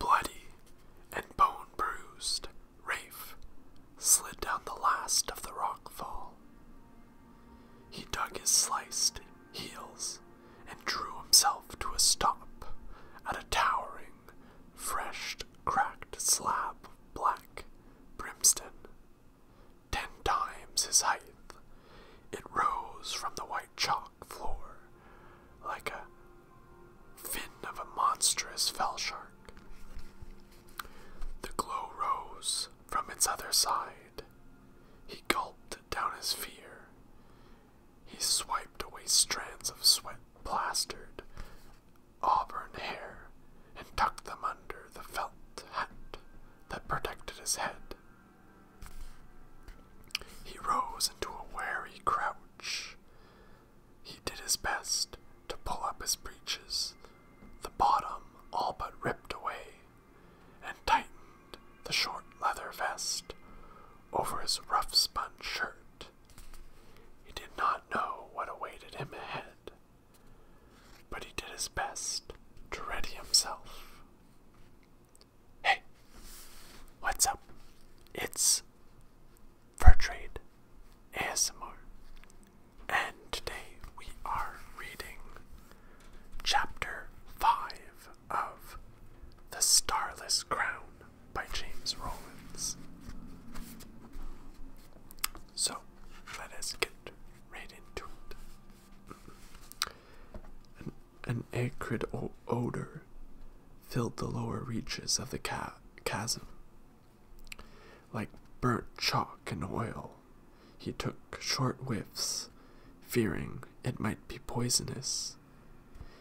Bloody and bone bruised, Rafe slid down the last of the rock fall. He dug his sliced heels and drew himself to a stop at a towering, fresh cracked slab of black brimstone. Ten times his height, it rose from the white chalk floor like a fin of a monstrous fell shark. The glow rose from its other side. He gulped down his fear. He swiped away strands of sweat plastered auburn hair and tucked them under the felt hat that protected his head he rose into a wary crouch. He did his best to pull up his breeches, the bottom all but ripped away, and tightened the short leather vest over his rough spun shirt. He did not know what awaited him ahead, but he did his best to ready himself. Hey, what's up? It's Fur Trade ASMR, and today we are reading Chapter 5 of The Starless Crown by James Rollins. So, let us get right into it. An acrid odor filled the lower reaches of the chasm. Like burnt chalk and oil, he took short whiffs, fearing it might be poisonous.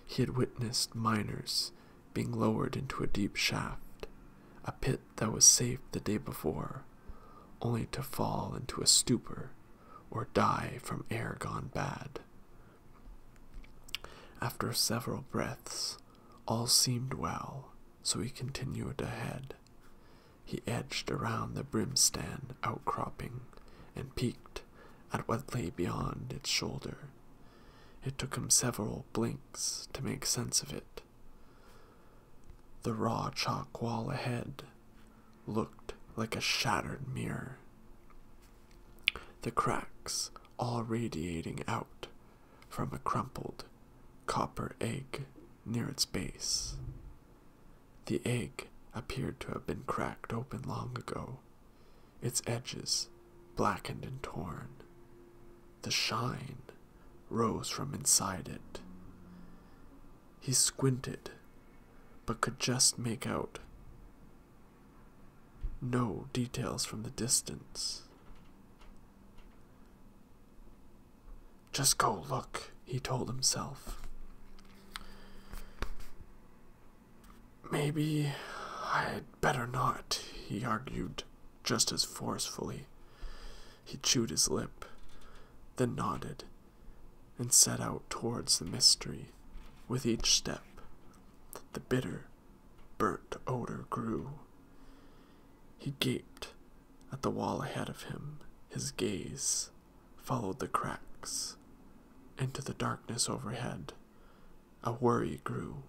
He had witnessed miners being lowered into a deep shaft, a pit that was safe the day before, only to fall into a stupor or die from air gone bad. After several breaths, all seemed well, so he continued ahead. He edged around the brimstone outcropping and peeked at what lay beyond its shoulder. It took him several blinks to make sense of it. The raw chalk wall ahead looked like a shattered mirror. The cracks all radiating out from a crumpled copper egg near its base. The egg appeared to have been cracked open long ago, its edges blackened and torn. The shine rose from inside it. He squinted, but could just make out no details from the distance. Just go look, he told himself. Maybe I'd better not, he argued, just as forcefully. He chewed his lip, then nodded and set out towards the mystery. With each step, the bitter, burnt odor grew. He gaped at the wall ahead of him. His gaze followed the cracks into the darkness overhead. A worry grew.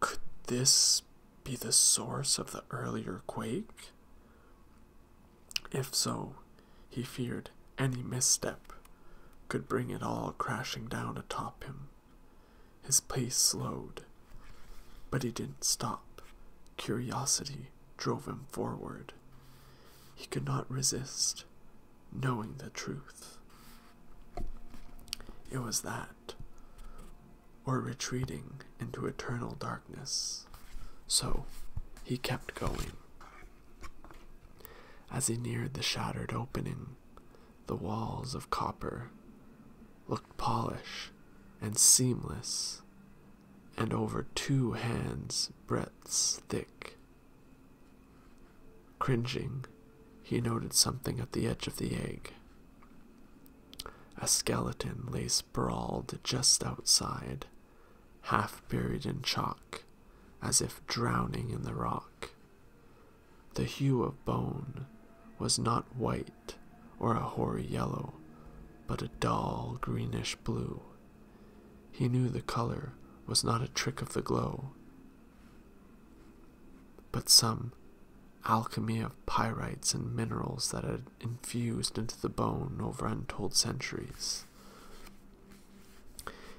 Could this be the source of the earlier quake? If so, he feared any misstep could bring it all crashing down atop him. His pace slowed, but he didn't stop. Curiosity drove him forward. He could not resist knowing the truth. It was that, or retreating into eternal darkness. So he kept going. As he neared the shattered opening, the walls of copper looked polished and seamless, and over two hands' breadths thick. Cringing, he noted something at the edge of the egg. A skeleton lay sprawled just outside, half buried in chalk, as if drowning in the rock. The hue of bone was not white or a hoary yellow, but a dull greenish blue. He knew the color was not a trick of the glow, but some alchemy of pyrites and minerals that had infused into the bone over untold centuries.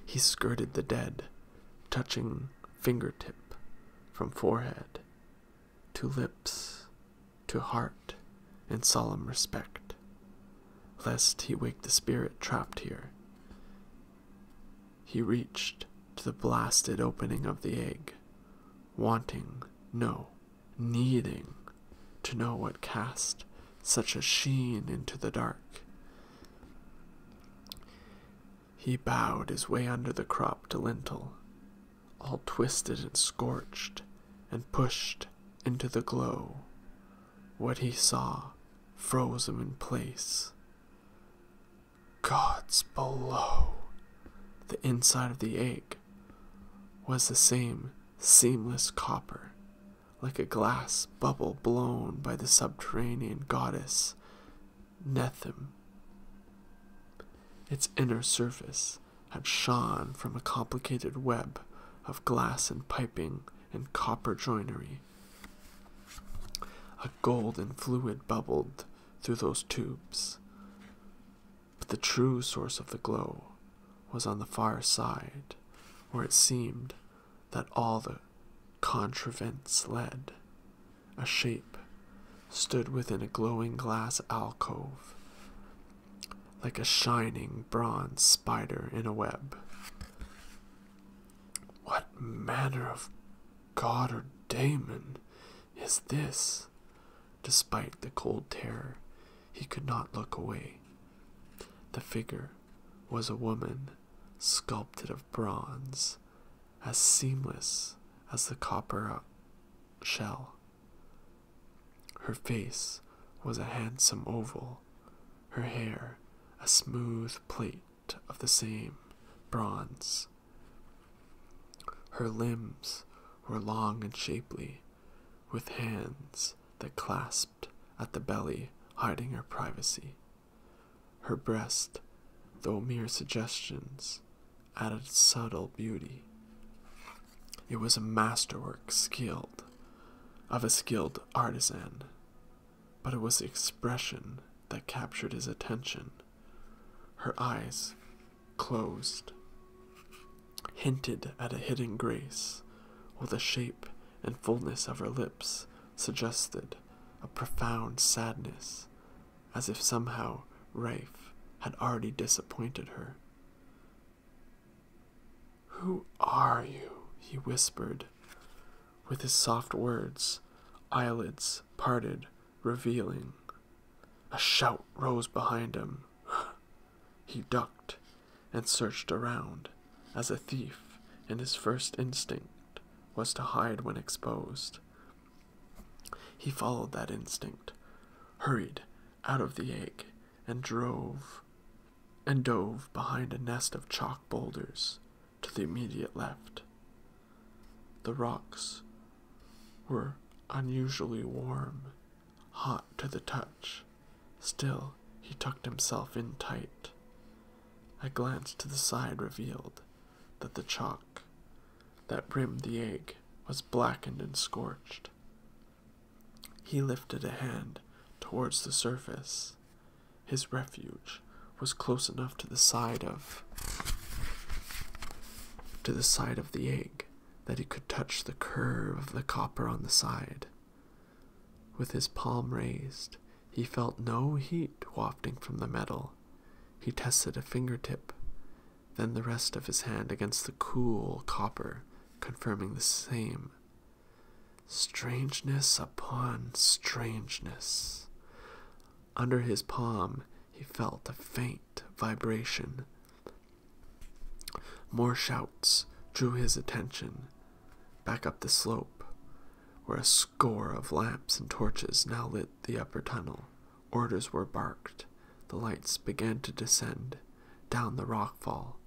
He skirted the dead, touching fingertip from forehead to lips to heart in solemn respect, lest he wake the spirit trapped here. He reached to the blasted opening of the egg, wanting, no, needing to know what cast such a sheen into the dark. He bowed his way under the cropped lintel, all twisted and scorched, and pushed into the glow. What he saw froze him in place. Gods below! The inside of the egg was the same seamless copper like a glass bubble blown by the subterranean goddess Nethem. Its inner surface had shone from a complicated web of glass and piping and copper joinery. A golden fluid bubbled through those tubes. But the true source of the glow was on the far side, where it seemed that all the contrivance led. A shape stood within a glowing glass alcove, like a shining bronze spider in a web. What manner of god or daemon is this? Despite the cold terror, he could not look away. The figure was a woman sculpted of bronze, as seamless as the copper uh, shell. Her face was a handsome oval, her hair a smooth plate of the same bronze. Her limbs were long and shapely, with hands that clasped at the belly, hiding her privacy. Her breast, though mere suggestions, added subtle beauty. It was a masterwork skilled of a skilled artisan, but it was the expression that captured his attention. Her eyes, closed, hinted at a hidden grace while the shape and fullness of her lips suggested a profound sadness, as if somehow Rafe had already disappointed her. Who are you? he whispered. With his soft words, eyelids parted, revealing. A shout rose behind him. He ducked and searched around as a thief, and his first instinct was to hide when exposed. He followed that instinct, hurried out of the egg, and drove and dove behind a nest of chalk boulders to the immediate left. The rocks were unusually warm, hot to the touch, Still, he tucked himself in tight. I glanced to the side, revealed that the chalk that rimmed the egg was blackened and scorched. He lifted a hand towards the surface. His refuge was close enough to the side of to the side of the egg that he could touch the curve of the copper on the side. With his palm raised, he felt no heat wafting from the metal. He tested a fingertip, then the rest of his hand against the cool copper, confirming the same. Strangeness upon strangeness. Under his palm, he felt a faint vibration. More shouts drew his attention, back up the slope, where a score of lamps and torches now lit the upper tunnel. Orders were barked. The lights began to descend down the rock fall.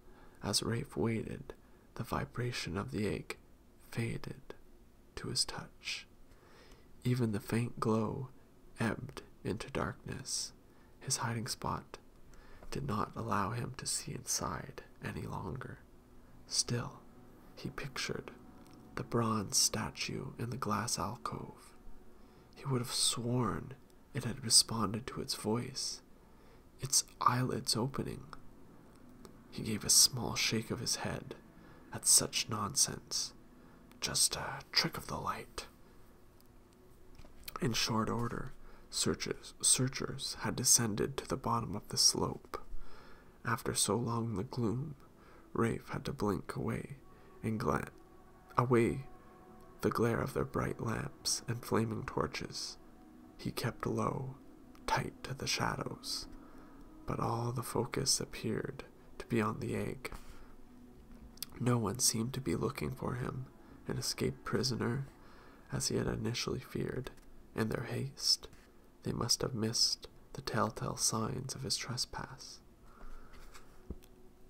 As Rafe waited, the vibration of the egg faded to his touch. Even the faint glow ebbed into darkness. His hiding spot did not allow him to see inside any longer. Still, he pictured the bronze statue in the glass alcove. He would have sworn it had responded to its voice, its eyelids opening. He gave a small shake of his head at such nonsense. Just a trick of the light. In short order, Searchers, searchers had descended to the bottom of the slope. After so long the gloom, Rafe had to blink away and glance away the glare of their bright lamps and flaming torches. He kept low, tight to the shadows, but all the focus appeared to be on the egg. No one seemed to be looking for him, an escaped prisoner, as he had initially feared. In their haste, they must have missed the telltale signs of his trespass.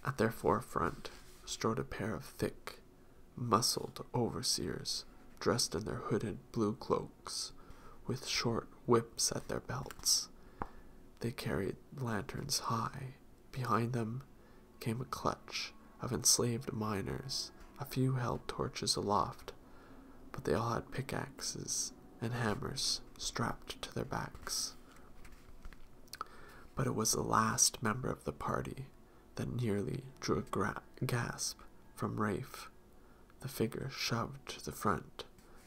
At their forefront strode a pair of thick, muscled overseers dressed in their hooded blue cloaks, with short whips at their belts. They carried lanterns high. Behind them, came a clutch of enslaved miners. A few held torches aloft, but they all had pickaxes and hammers strapped to their backs. But it was the last member of the party that nearly drew a gasp from Rafe. The figure shoved to the front.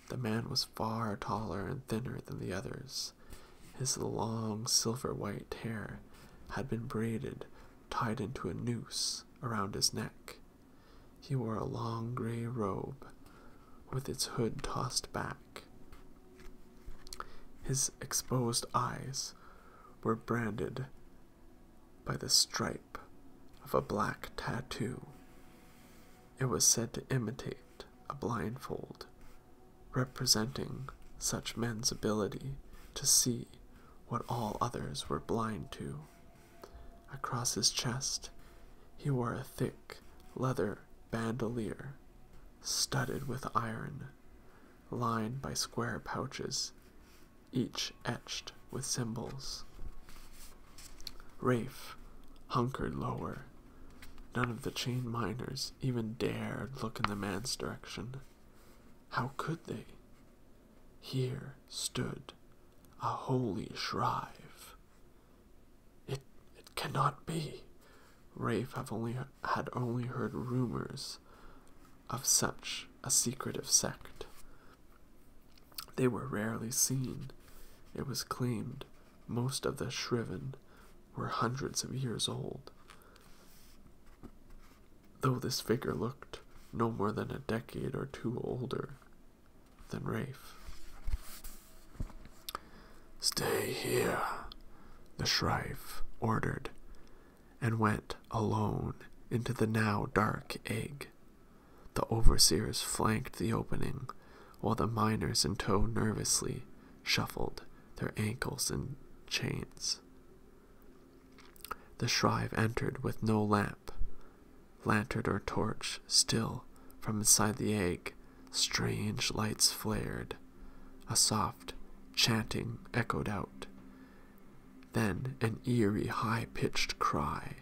The man was far taller and thinner than the others. His long silver white hair had been braided tied into a noose around his neck. He wore a long gray robe with its hood tossed back. His exposed eyes were branded by the stripe of a black tattoo. It was said to imitate a blindfold, representing such men's ability to see what all others were blind to. Across his chest, he wore a thick leather bandolier studded with iron, lined by square pouches, each etched with symbols. Rafe hunkered lower. None of the chain miners even dared look in the man's direction. How could they? Here stood a holy shrive. It it cannot be. Rafe had only heard rumors of such a secretive sect. They were rarely seen. It was claimed most of the shriven were hundreds of years old though this figure looked no more than a decade or two older than Rafe. Stay here, the shrieve ordered, and went alone into the now dark egg. The overseers flanked the opening, while the miners in tow nervously shuffled their ankles and chains. The shrive entered with no lamp, lantern or torch, still, from inside the egg, strange lights flared. A soft chanting echoed out. Then an eerie, high pitched cry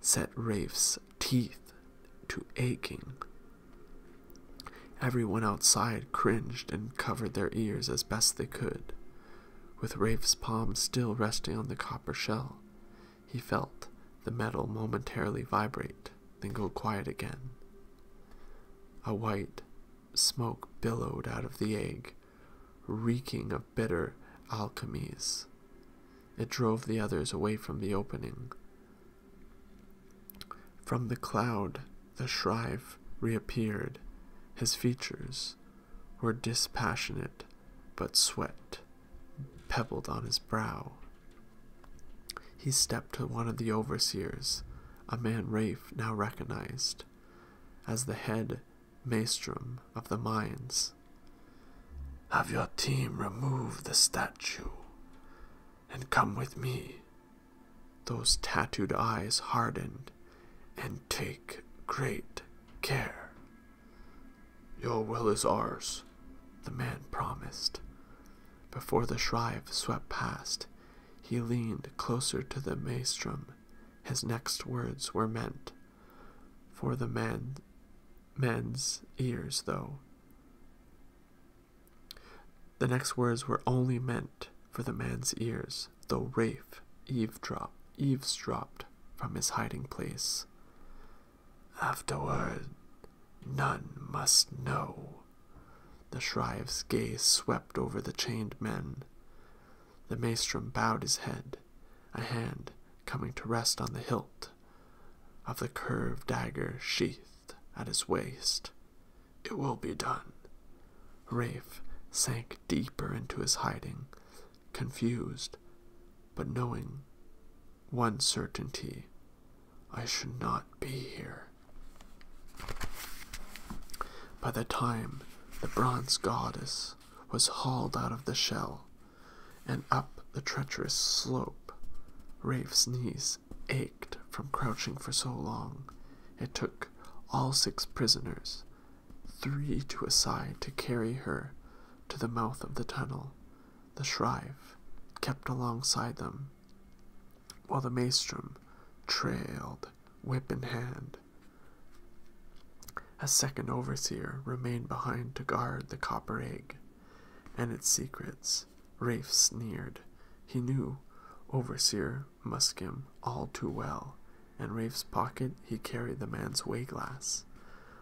set Rafe's teeth to aching. Everyone outside cringed and covered their ears as best they could. With Rafe's palm still resting on the copper shell, he felt the metal momentarily vibrate, then go quiet again. A white smoke billowed out of the egg, reeking of bitter alchemies. It drove the others away from the opening. From the cloud the Shrive reappeared. His features were dispassionate, but sweat pebbled on his brow. He stepped to one of the overseers, a man Rafe now recognized as the head maestrum of the mines. Have your team remove the statue and come with me those tattooed eyes hardened, and take great care. Your will is ours, the man promised. Before the shrive swept past, he leaned closer to the maelstrom. His next words were meant for the man, men's ears, though. The next words were only meant for the man's ears hours, though Rafe eavesdropped from his hiding place. Afterward, none must know. The shrieve's gaze swept over the chained men. The maestrom bowed his head, a hand coming to rest on the hilt of the curved dagger sheathed at his waist. It will be done. Rafe sank deeper into his hiding, confused, but knowing one certainty I should not be here. By the time the bronze goddess was hauled out of the shell and up the treacherous slope, Rafe's knees ached from crouching for so long, it took all six prisoners, three to a side, to carry her to the mouth of the tunnel. The Shrive kept alongside them, while the maestrum trailed, whip in hand. A second overseer remained behind to guard the copper egg and its secrets. Rafe sneered. He knew Overseer Peter Muskim all too well. In Rafe's pocket he carried the man's way-glass.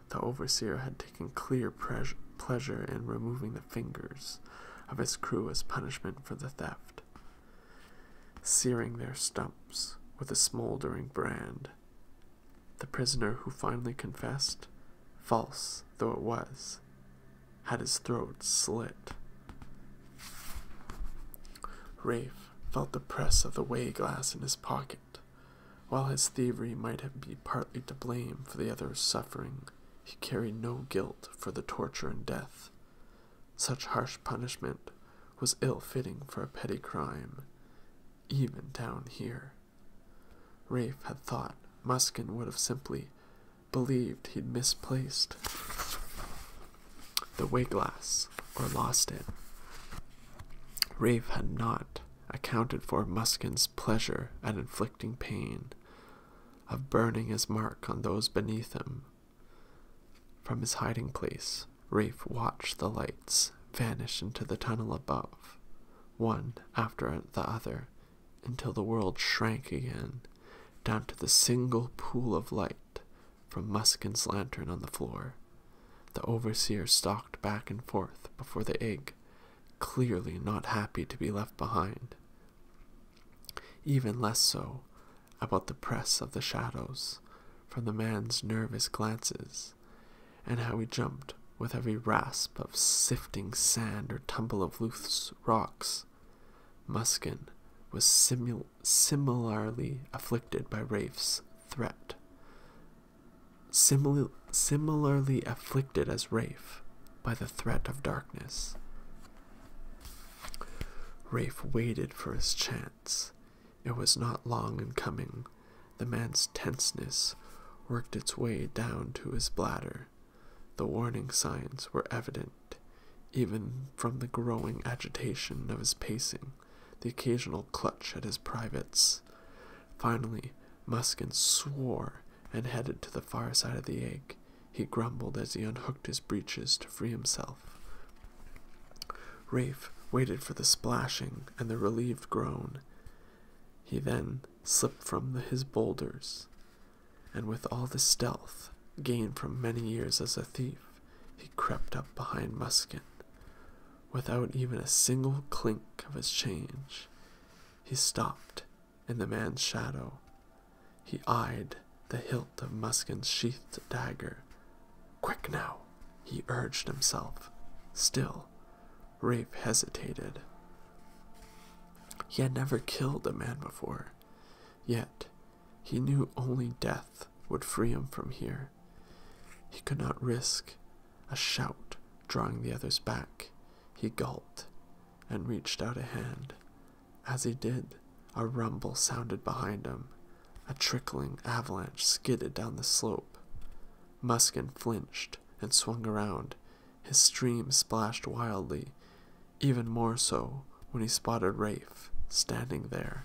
The overseer had taken clear pleasure in removing the fingers of his crew as punishment for the theft, searing their stumps with a smoldering brand. The prisoner who finally confessed, false though it was, had his throat slit. Rafe felt the press of the way glass in his pocket. While his thievery might be partly to blame for the other's suffering, he carried no guilt for the torture and death. Such harsh punishment was ill fitting for a petty crime, even down here. Rafe had thought Muskin would have simply believed he'd misplaced the Wigglass, or lost it. Rafe had not accounted for Muskin's pleasure at inflicting pain, of burning his mark on those beneath him. From his hiding place, Rafe watched the lights vanish into the tunnel above, one after the other, until the world shrank again down to the single pool of light from Muskin's lantern on the floor. The overseer stalked back and forth before the egg, clearly not happy to be left behind. Even less so about the press of the shadows from the man's nervous glances, and how he jumped with every rasp of sifting sand or tumble of loose rocks Muskin was similarly afflicted by Rafe's threat. similarly afflicted as Rafe by the threat of darkness. Rafe waited for his chance. It was not long in coming. The man's tenseness worked its way down to his bladder. The warning signs were evident even from the growing agitation of his pacing, the occasional clutch at his privates. Finally, Muskin swore and headed to the far side of the egg. He grumbled as he unhooked his breeches to free himself. Rafe waited for the splashing and the relieved groan. He then slipped from his boulders, and with all the stealth gained from many years as a thief, he crept up behind Muskin. Without even a single clink of his change, he stopped in the man's shadow. He eyed the hilt of Muskin's sheathed dagger. Quick now, he urged himself. Still, Rafe hesitated. He had never killed a man before, yet he knew only death would free him from here. He could not risk a shout drawing the others back. He gulped and reached out a hand. As he did, a rumble sounded behind him. A trickling avalanche skidded down the slope. Muskin flinched and swung around. His stream splashed wildly even more so when he spotted Rafe standing there.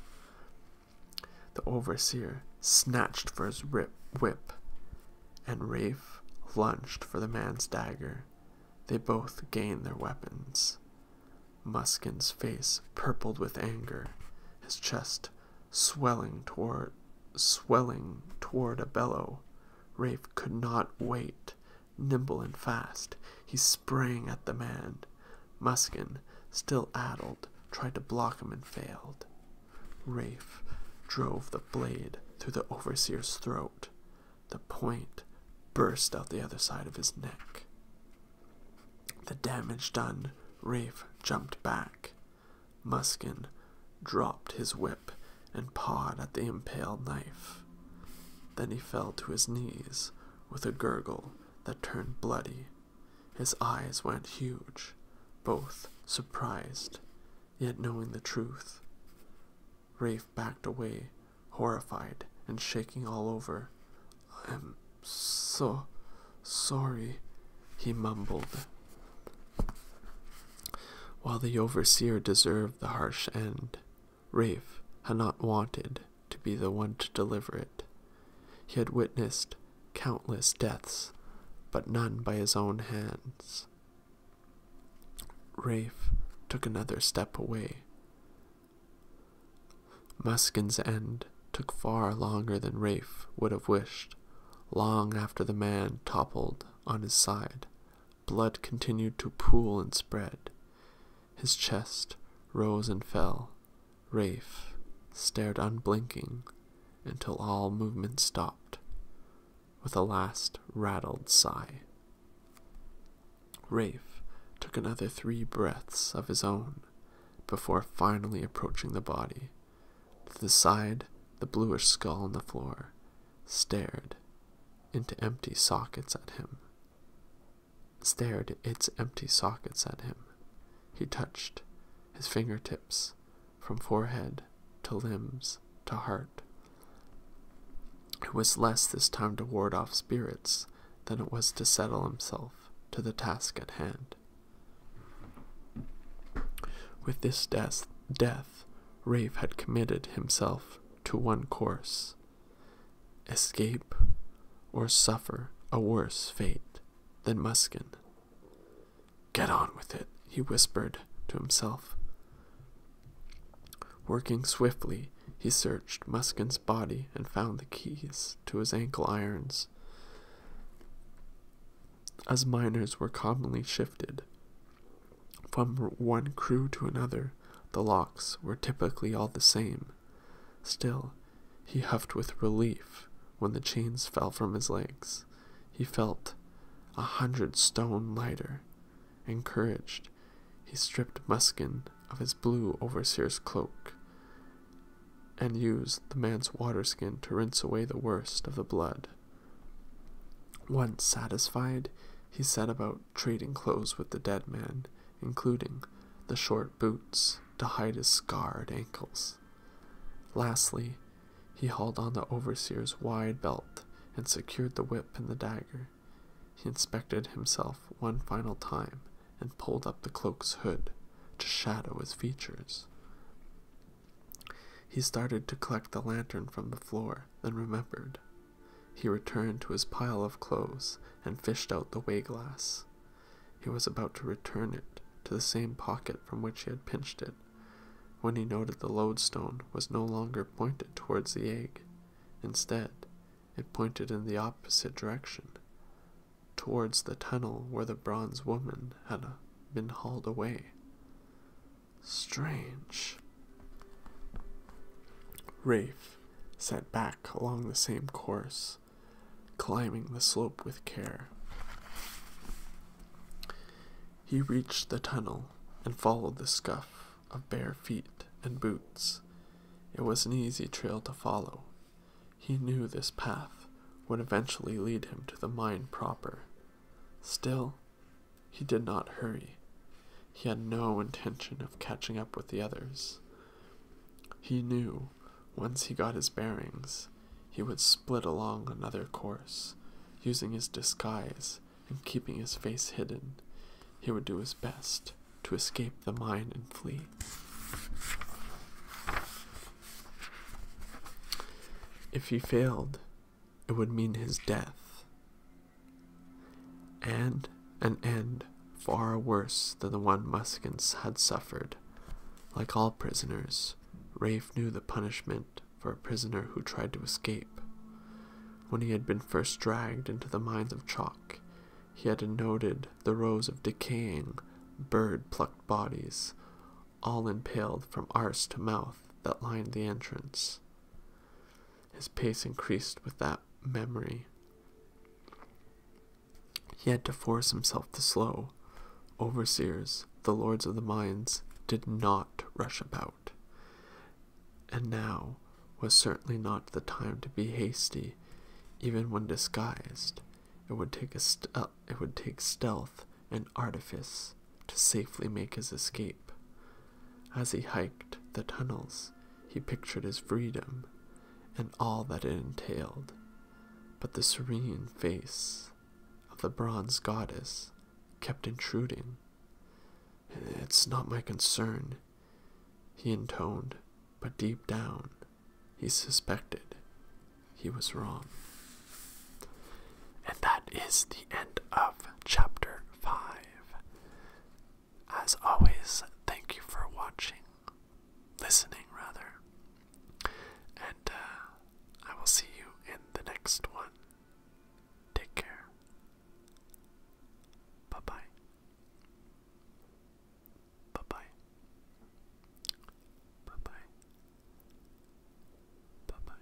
The overseer snatched for his whip, and Rafe lunged for the man's dagger. They both gained their weapons. Muskin's face purpled with anger, his chest swelling toward swelling toward a bellow. Rafe could not wait. Nimble and fast, he sprang at the man. Muskin, still addled, tried to block him and failed. Rafe drove the blade through the overseer's throat. The point burst out the other side of his neck. The damage done, Rafe jumped back. Muskin dropped his whip and pawed at the impaled knife. Then he fell to his knees with a gurgle that turned bloody. His eyes went huge, both surprised, yet knowing the truth. Rafe backed away, horrified and shaking all over. I'm so sorry, he mumbled. While the overseer deserved the harsh end, Rafe had not wanted to be the one to deliver it. He had witnessed countless deaths, but none by his own hands. Rafe took another step away. Muskin's end took far longer than Rafe would have wished. Long after the man toppled on his side, blood continued to pool and spread. His chest rose and fell. Rafe stared unblinking until all movement stopped with a last rattled sigh. Rafe took another three breaths of his own before finally approaching the body. To the side, the bluish skull on the floor stared into empty sockets at him stared its empty sockets at him. He touched his finger tips, from forehead to limbs to heart. It was less this time to ward off spirits than it was to settle himself to the task at hand. With this death, death Rafe had committed himself to one course escape or suffer a worse fate than Muskin. Get on with it, he whispered to himself. Working swiftly, he searched Muskin's body and found the keys to his ankle irons. As miners were commonly shifted from one crew to another, the locks were typically all the same, Still, he huffed with relief when the chains fell from his legs. He felt a hundred stone lighter. Encouraged, he stripped Muskin of his blue overseer's cloak and used the man's water skin to rinse away the worst of the blood. Once satisfied, he set about trading clothes with the dead man, including the short boots to hide his scarred ankles. Lastly, he hauled on the overseer's wide belt and secured the whip and the dagger. He inspected himself one final time and pulled up the cloak's hood to shadow his features. He started to collect the lantern from the floor, then remembered. He returned to his pile of clothes and fished out the way-glass. He was about to return it to the same pocket from which he had pinched it, when he noted the lodestone was no longer pointed towards the egg. Instead, it pointed in the opposite direction, towards the tunnel where the bronze woman had uh, been hauled away. Strange. Rafe set back along the same course, climbing the slope with care. He reached the tunnel and followed the scuff of bare feet and boots. It was an easy trail to follow. He knew this path would eventually lead him to the mine proper. Still, he did not hurry. He had no intention of catching up with the others, he knew, once he got his bearings, he would split along another course, using his disguise and keeping his face hidden. He would do his best to escape the mine and flee. If he failed, it would mean his death. And an end far worse than the one Muskins had suffered. Like all prisoners, Rafe knew the punishment for a prisoner who tried to escape. When he had been first dragged into the mines of chalk, he had noted the rows of decaying, bird plucked bodies, all impaled from arse to mouth, that lined the entrance. His pace increased with that memory. He had to force himself to slow. Overseers, the lords of the mines, did not rush about. And now was certainly not the time to be hasty, even when disguised. It would take a st uh, it would take stealth and artifice to safely make his escape. As he hiked the tunnels, he pictured his freedom and all that it entailed, but the serene face of the bronze goddess kept intruding. It's not my concern, he intoned, but deep down he suspected he was wrong. And that is the end of chapter 5. As always, thank you for watching, listening rather, and uh, I will see you in the next one. Take care. Bye bye. Bye bye. Bye bye. Bye bye.